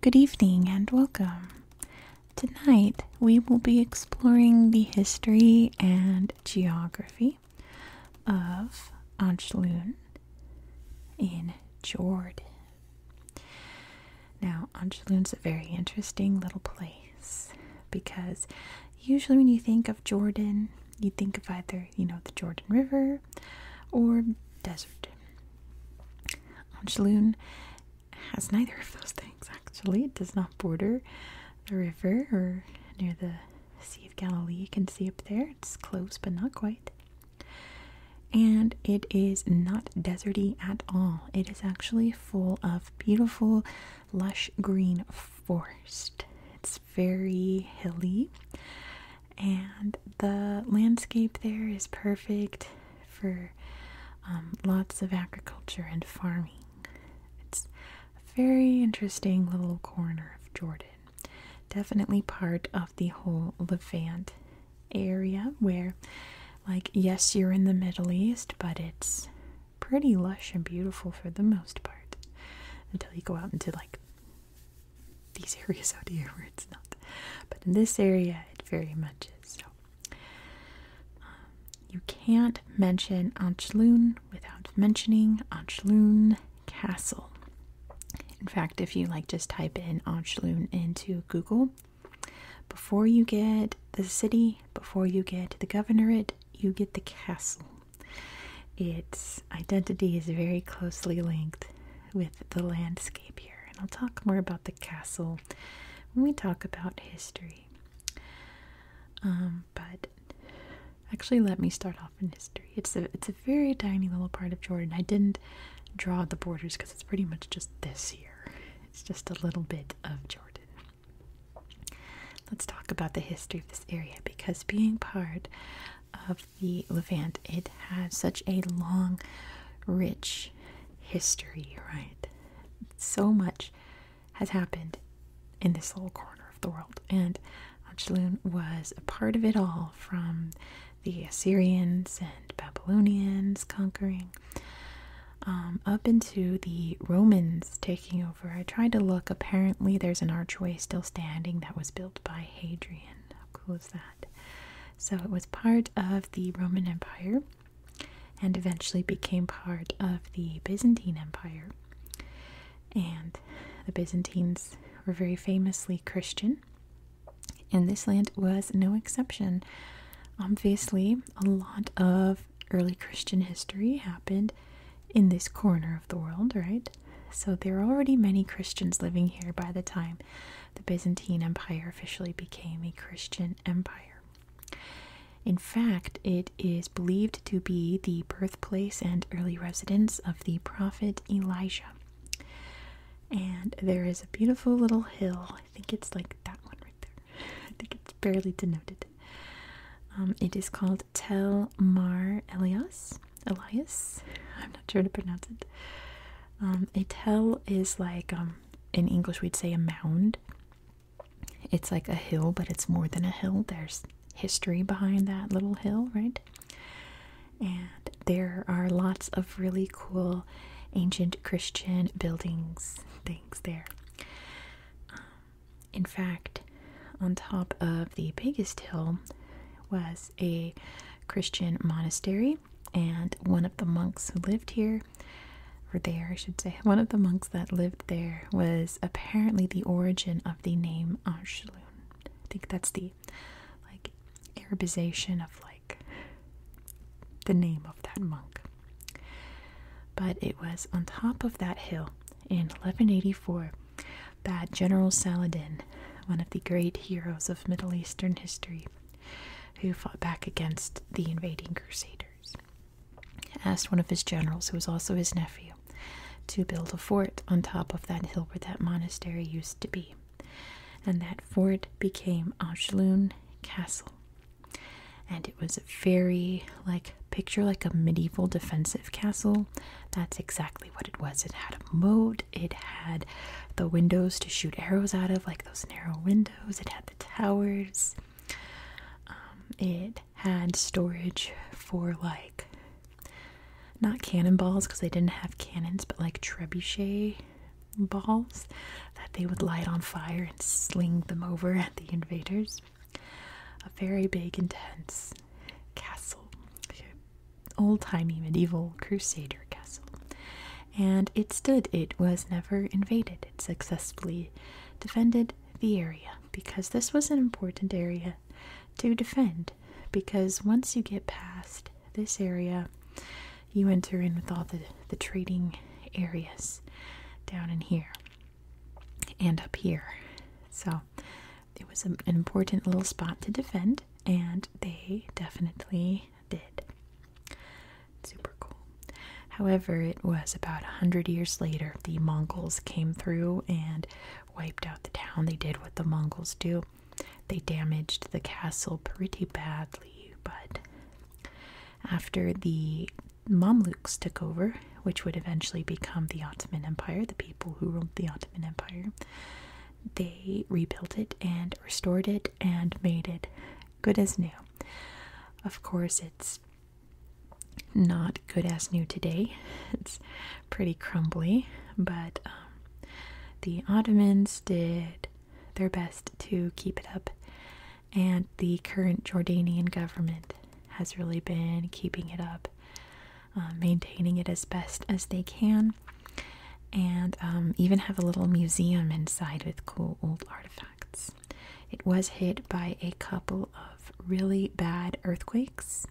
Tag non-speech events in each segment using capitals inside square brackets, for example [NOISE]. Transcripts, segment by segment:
Good evening and welcome. Tonight we will be exploring the history and geography of Anjlun in Jordan. Now, is a very interesting little place because usually when you think of Jordan, you think of either, you know, the Jordan River or desert. Anjlun has neither of those things actually. It does not border the river or near the See if Galilee. can see up there. It's close, but not quite. And it is not deserty at all. It is actually full of beautiful, lush green forest. It's very hilly, and the landscape there is perfect for um, lots of agriculture and farming. It's a very interesting little corner of Jordan. Definitely part of the whole Levant area where, like, yes, you're in the Middle East, but it's pretty lush and beautiful for the most part until you go out into like these [LAUGHS] areas out here where it's not. But in this area, it very much is. So um, you can't mention Anchlun without mentioning Anschlun Castle. In fact, if you like just type in Anschlun into Google, before you get the city, before you get the governorate, you get the castle. Its identity is very closely linked with the landscape here, and I'll talk more about the castle when we talk about history. Um, but Actually, let me start off in history. It's a it's a very tiny little part of Jordan. I didn't draw the borders because it's pretty much just this here. It's just a little bit of Jordan. Let's talk about the history of this area because being part of the Levant, it has such a long, rich history, right? So much has happened in this little corner of the world. And Anshulun was a part of it all from the Assyrians and Babylonians conquering um, up into the Romans taking over. I tried to look, apparently, there's an archway still standing that was built by Hadrian. How cool is that? So it was part of the Roman Empire and eventually became part of the Byzantine Empire and the Byzantines were very famously Christian, and this land was no exception. Obviously, a lot of early Christian history happened in this corner of the world, right? So there were already many Christians living here by the time the Byzantine Empire officially became a Christian empire. In fact, it it is believed to be the birthplace and early residence of the prophet Elijah. And there is a beautiful little hill. I think it's like that one right there. I think it's barely denoted. Um, it is called Tell Mar Elias. Elias. I'm not sure to pronounce it. Um, a tell is like, um, in English, we'd say a mound. It's like a hill, but it's more than a hill. There's history behind that little hill, right? And there are lots of really cool ancient Christian buildings, things there. Um, in fact, on top of the biggest hill was a Christian monastery, and one of the monks who lived here, or there, I should say, [LAUGHS] one of the monks that lived there was apparently the origin of the name Anschluss. I think that's the like Arabization of like the name of that monk. But it was on top of that hill in 1184 that General Saladin, one of the great heroes of Middle Eastern history, who fought back against the invading Crusaders, asked one of his generals, who was also his nephew, to build a fort on top of that hill where that monastery used to be. And that fort became Ajloon Castle. And it was very, like, picture like a medieval defensive castle. That's exactly what it was. It had a moat, it had the windows to shoot arrows out of, like those narrow windows, it had the towers. Um, it had storage for like not cannonballs because they didn't have cannons, but like trebuchet balls that they would light on fire and sling them over at the invaders. A very big, intense castle, old timey medieval crusader castle. And it stood, it was never invaded, it successfully defended the area because this was an important area to defend because once you get past this area, you enter in with all the, the trading areas down in here and up here. So it was an important little spot to defend, and they definitely did. Super cool. However, it was about a hundred years later the Mongols came through and wiped out the town. They did what the Mongols do. They damaged the castle pretty badly, but after the Mamluks took over, which would eventually become the Ottoman Empire, the people who ruled the Ottoman Empire, they rebuilt it and restored it and made it good as new. Of course, it's not good as new today. [LAUGHS] It's pretty pretty crumbly, but um, the Ottomans did their best to keep it up, and the current Jordanian government has really been keeping it up, uh, maintaining it as best as they can, and um, even have a little museum inside with cool old artifacts. It was hit by a couple of really bad earthquakes.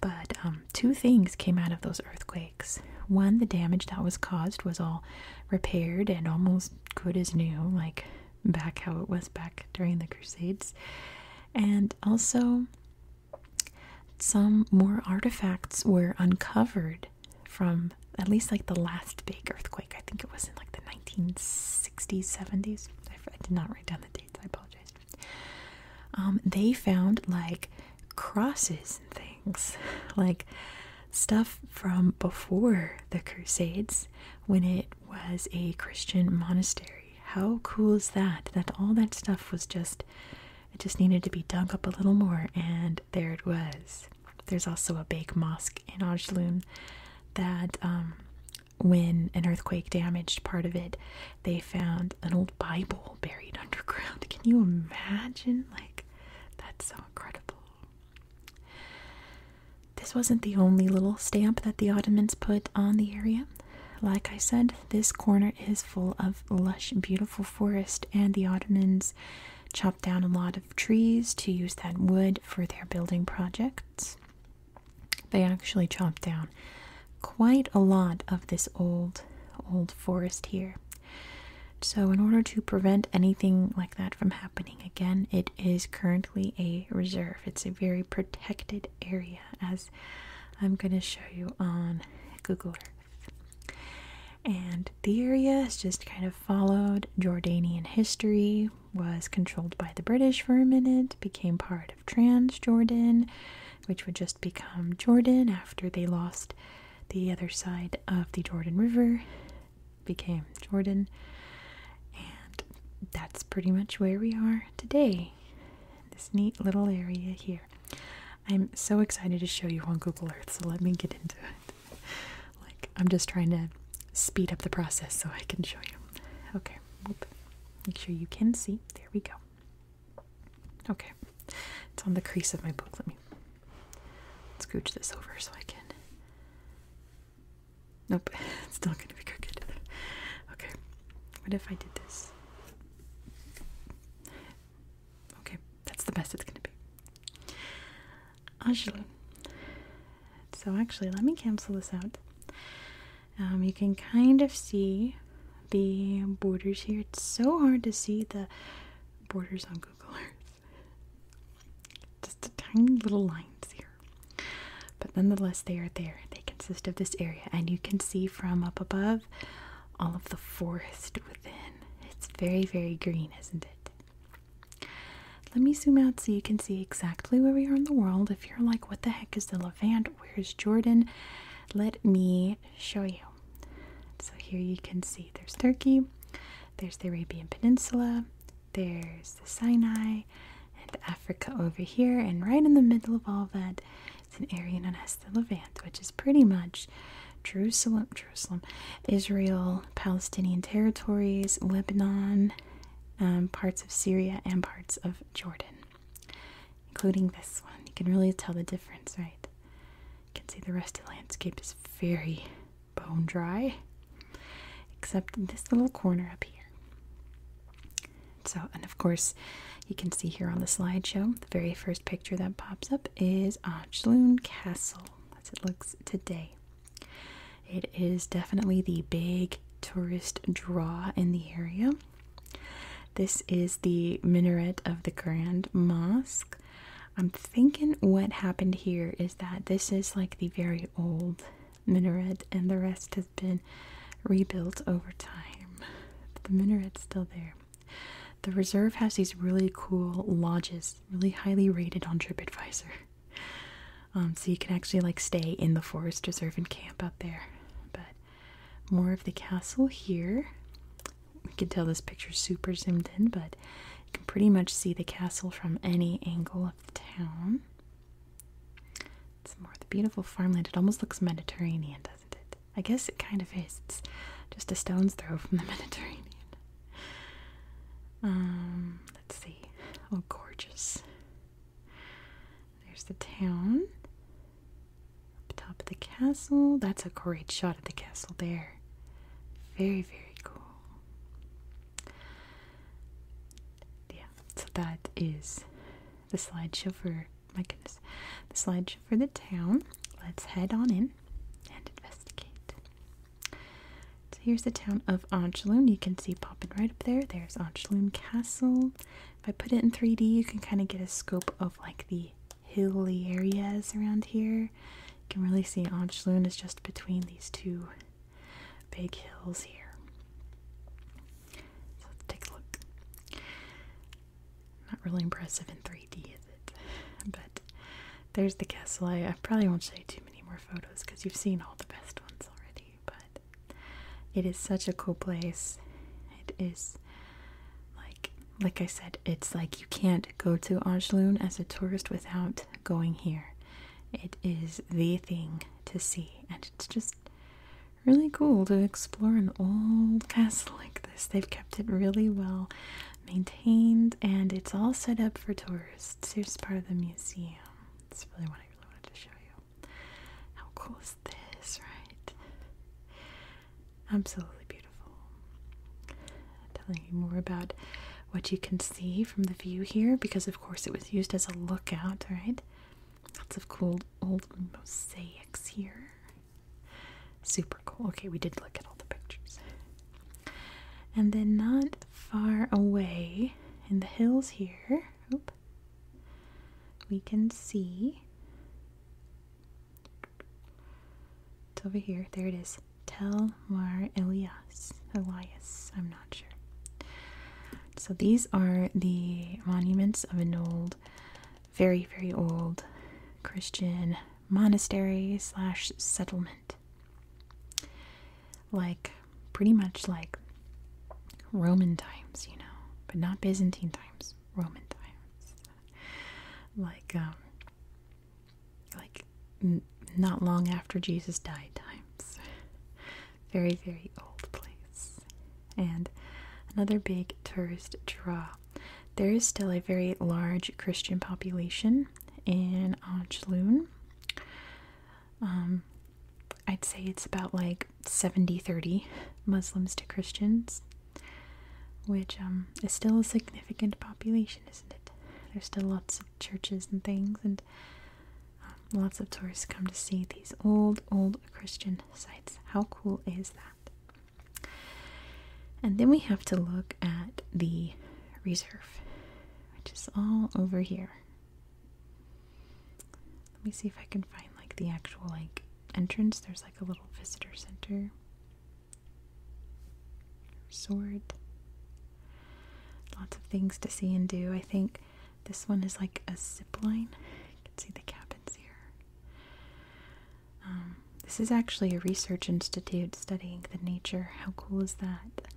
But um, two things came out of those earthquakes. One, the damage that was caused was all repaired and almost good as new, like back how it was back during the Crusades. And also, some more artifacts were uncovered from at least like the last big earthquake. I think it was in like the 1960s, 70s. I did not write down the dates, I apologize. Um, they found like crosses and things, [LAUGHS] like stuff from before the Crusades when it was a Christian monastery. How cool is that? That all that stuff was just, it just needed to be dunked up a little more, and there it was. There's also a big mosque in Ajloon that, um, when an earthquake damaged part of it, they found an old Bible buried underground. Can you imagine? Like, that's so incredible. This wasn't the only little stamp that the Ottomans put on the area. Like I said, this corner is full of lush, beautiful forest, and the Ottomans chopped down a lot of trees to use that wood for their building projects. They actually chopped down quite a lot of this old old forest here so in order to prevent anything like that from happening again it is currently a reserve it's a very protected area as i'm going to show you on google earth and the area has just kind of followed jordanian history was controlled by the british for a minute became part part of Transjordan, which would just become Jordan after they lost the other side of the Jordan River, became Jordan. And that's pretty much where we are today. This neat little area here. I'm so excited to show you on Google Earth, so let me get into it. Like, I'm just trying to speed up the process so I can show you. Okay, make sure you can see. There we go. Okay, it's on the crease of my book. Let me scooch this over so I can. Nope, [LAUGHS] it's still gonna be crooked. Okay, what if I did this? Okay, that's the best it's gonna be. Actually, so actually, let me cancel this out. Um, you can kind of see the borders here. It's so hard to see the borders on Google Earth. Just the tiny little lines here. But nonetheless, they are there. They consist of this area, and you can see from up above all of the forest within. It's very, very green, isn't it? Let me zoom out so you can see exactly where we are in the world. If you're like, what the heck is the Levant? Where's Jordan? let me show you. So here you can see there's Turkey, there's the Arabian Peninsula, there's the Sinai, and Africa over here, and right in the middle of all that, it's an area known as the Levant, which is pretty much Jerusalem, Jerusalem, Israel, Palestinian territories, Lebanon, um, parts of Syria, and parts of Jordan including this one. You can really tell the difference, right? You can see the rest of the landscape is very bone dry, except this little corner up here. So, and of course, you can see here on the slideshow, the very first picture that pops up is Ochloon Castle, as it looks today. It is definitely the big tourist draw in the area. This is the minaret of the Grand Mosque. I'm thinking what happened here is that this is like the very old minaret, and the rest has been rebuilt over time. the minaret's still there. The reserve has these really cool lodges, really highly rated on TripAdvisor. Um, so you can actually like stay in the forest reserve and camp out there. But more of the castle here. You can tell this picture's super zoomed in, but you can pretty much see the castle from any angle of the town. It's more the beautiful farmland. It almost looks Mediterranean, doesn't it? I guess it kind of is. It's just a stone's throw from the [LAUGHS] Mediterranean. Um, let's see. Oh, gorgeous. There's the town. Up top of the castle. That's a great shot of the castle there. Very, very cool. Yeah, so that is the slideshow for my goodness. The slideshow for the town. Let's head on in and investigate. So here's the town of Anjaloon. You can see popping right up there. There's Anjaloon Castle. If I put it in 3D, you can kind of get a scope of like the hilly areas around here. You can really see Anjloon is just between these two big hills here. So let's take a look. Not really impressive in 3D, is it? [LAUGHS] But there's the castle. I, I probably won't show you too many more photos because you've seen all the best ones already. But it is such a cool place. It is like like I said, it's like you can't go to Anjloon as a tourist without going here. It is the thing to see, and it's just really cool to explore an old castle like this. They've kept it really well maintained, and it's all set up for tourists. Here's part of the museum. It's really what I really wanted to show you. How cool is this, right? Absolutely beautiful. Telling you more about what you can see from the view here because, of course, it was used as a lookout, right? Lots of cool old mosaics here. Super cool. Okay, we did look at all the pictures. And then, not far away in the hills here, we can see it's over here. There it is. Tel Mar Elias. Elias. I'm not sure. So these are the monuments of an old, very, very old Christian monastery slash settlement. Like, pretty much like Roman times, you know, but not Byzantine times, Roman times. [LAUGHS] like um, like not long after Jesus died times. [LAUGHS] very very old place. And another big tourist draw. There is still a very large Christian population in Anjloon. Um I'd say it's about like 70-30 Muslims to Christians which um, is still a significant population, isn't it? There's still lots of churches and things, and um, lots of tourists come to see these old, old Christian sites. How cool is that? And then we have to look at the reserve, which is all over here. Let me see if I can find like the actual like entrance. There's like a little visitor center. Sword. Lots of things to see and do. I think this one is like a zip line. You can see the cabins here. Um, this is actually a research institute studying the nature. How cool is that?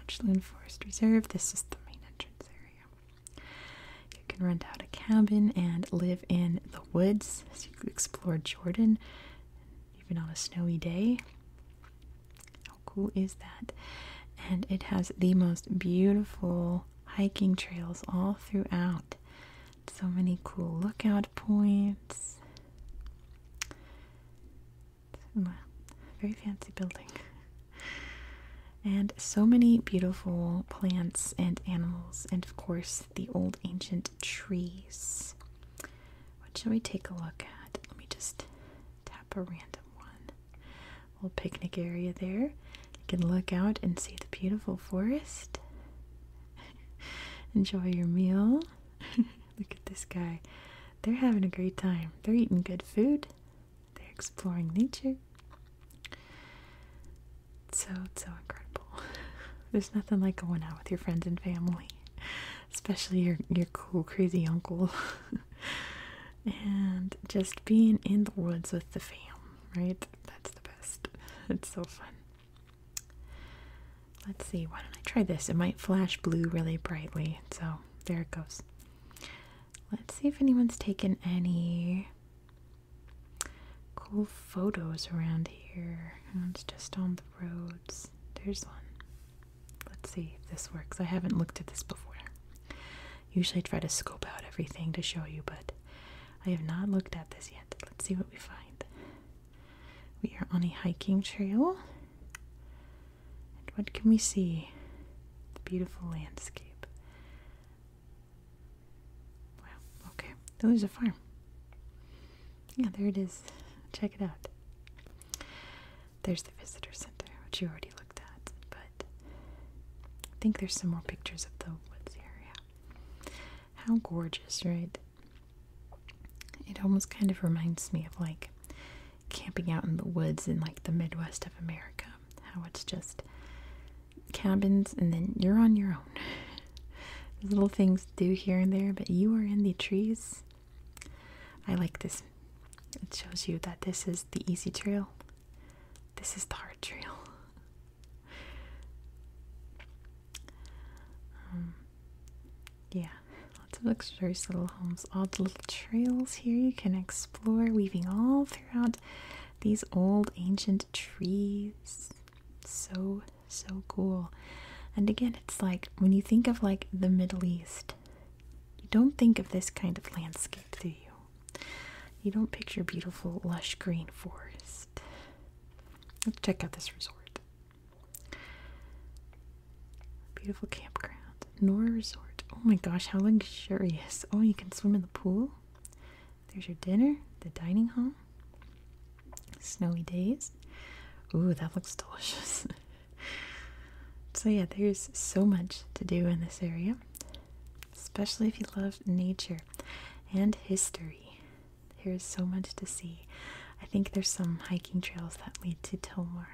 Ochloon Forest Reserve. This is the main entrance area can rent out a cabin and live in the woods so you can explore Jordan, even on a snowy day. How cool is that? And it has the most beautiful hiking trails all throughout. So many cool lookout points. very fancy building. And so many beautiful plants and animals, and of course, the old ancient trees. What shall we take a look at? Let me just tap a random one. Little picnic area there. You can look out and see the beautiful forest. [LAUGHS] Enjoy your meal. [LAUGHS] look at this guy. They're having a great time. They're eating good food. They're exploring nature so so incredible. [LAUGHS] There's nothing like going out with your friends and family, especially your your cool crazy uncle, [LAUGHS] and just being in the woods with the fam. Right, that's the best. [LAUGHS] It's so fun. Let's see. Why don't I try this? It might flash blue really brightly. So there it goes. Let's see if anyone's taken any Cool photos around here. Oh, it's just on the roads. There's one. Let's see if this works. I haven't looked at this before. Usually I try to scope out everything to show you, but I have not looked at this yet. Let's see what we find. We are on a hiking trail. And what can we see? The beautiful landscape. Wow, okay. there's a farm. Yeah, there it is. Check it out. There's the visitor center, which you already looked at, but I think there's some more pictures of the woods area. How gorgeous, right? It almost kind of reminds me of like camping out in the woods in like the Midwest of America. How it's just cabins, and then you're on your own. [LAUGHS] little things do here and there, but you are in the trees. I like this. It shows you that this is the easy trail, this is the hard trail. [LAUGHS] Um, yeah, lots of luxurious little homes, all the little trails here you can explore, weaving all throughout these old ancient trees. So so cool. And again, it's like when you think of like the Middle East, you don't think of this kind of landscape, do you? You don't picture beautiful, lush green forest. Let's check out this resort. Beautiful campground. Nora Resort. Oh my gosh, how luxurious. Oh, you can swim in the pool? There's your dinner, the dining hall. Snowy days. Ooh, that looks delicious. [LAUGHS] so, yeah, there's so much to do in this area, especially if you love nature and history. There's so much to see. I think there's some hiking trails that lead to Tomar.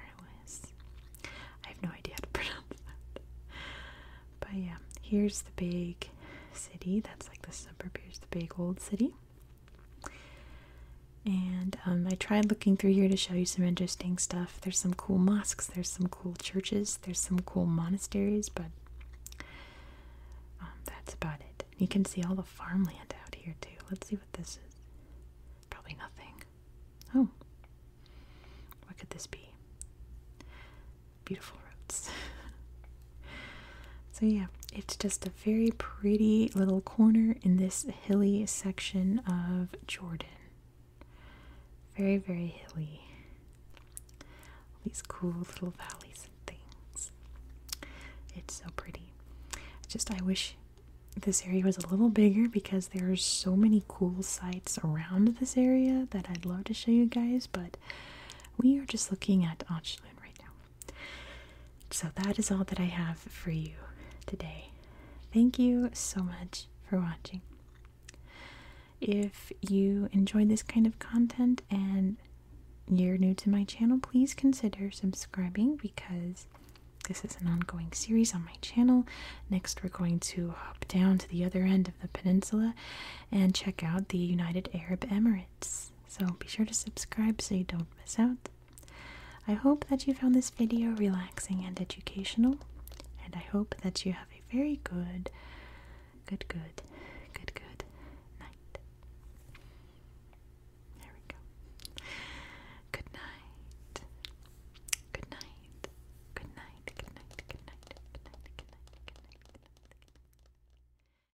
I have no idea how to [LAUGHS] pronounce that. But yeah, here's the big city. That's like the suburb. the big old city. And um, I tried looking through here to show you some interesting stuff. There's some cool mosques, there's some cool churches, there's some cool monasteries, but um, that's about it. You can see all the farmland out here too. Let's see what this is. Probably nothing. Oh, what could this be? Beautiful roads. [LAUGHS] So, yeah, it's just a very pretty little corner in this hilly section of Jordan. Very, very hilly. All these cool little valleys and things. It's so pretty. Just, I wish this area was a little bigger because there are so many cool sites around this area that I'd love to show you guys, but we are just looking at Ochlan right now. So, that is all that I have for you today. Thank you so much for watching. If you enjoy this kind of content and you're new to my channel, please consider subscribing because this is an ongoing series on my channel. Next, we're going to hop down to the other end of the peninsula and check out the United Arab Emirates so be sure to subscribe so you don't miss out. I hope that you found this video relaxing and educational, and I hope that you have a very good, good, good, good, good night. There we go. Good night. Good night. Good night. Good night. Good night. Good night. Good night. Good night.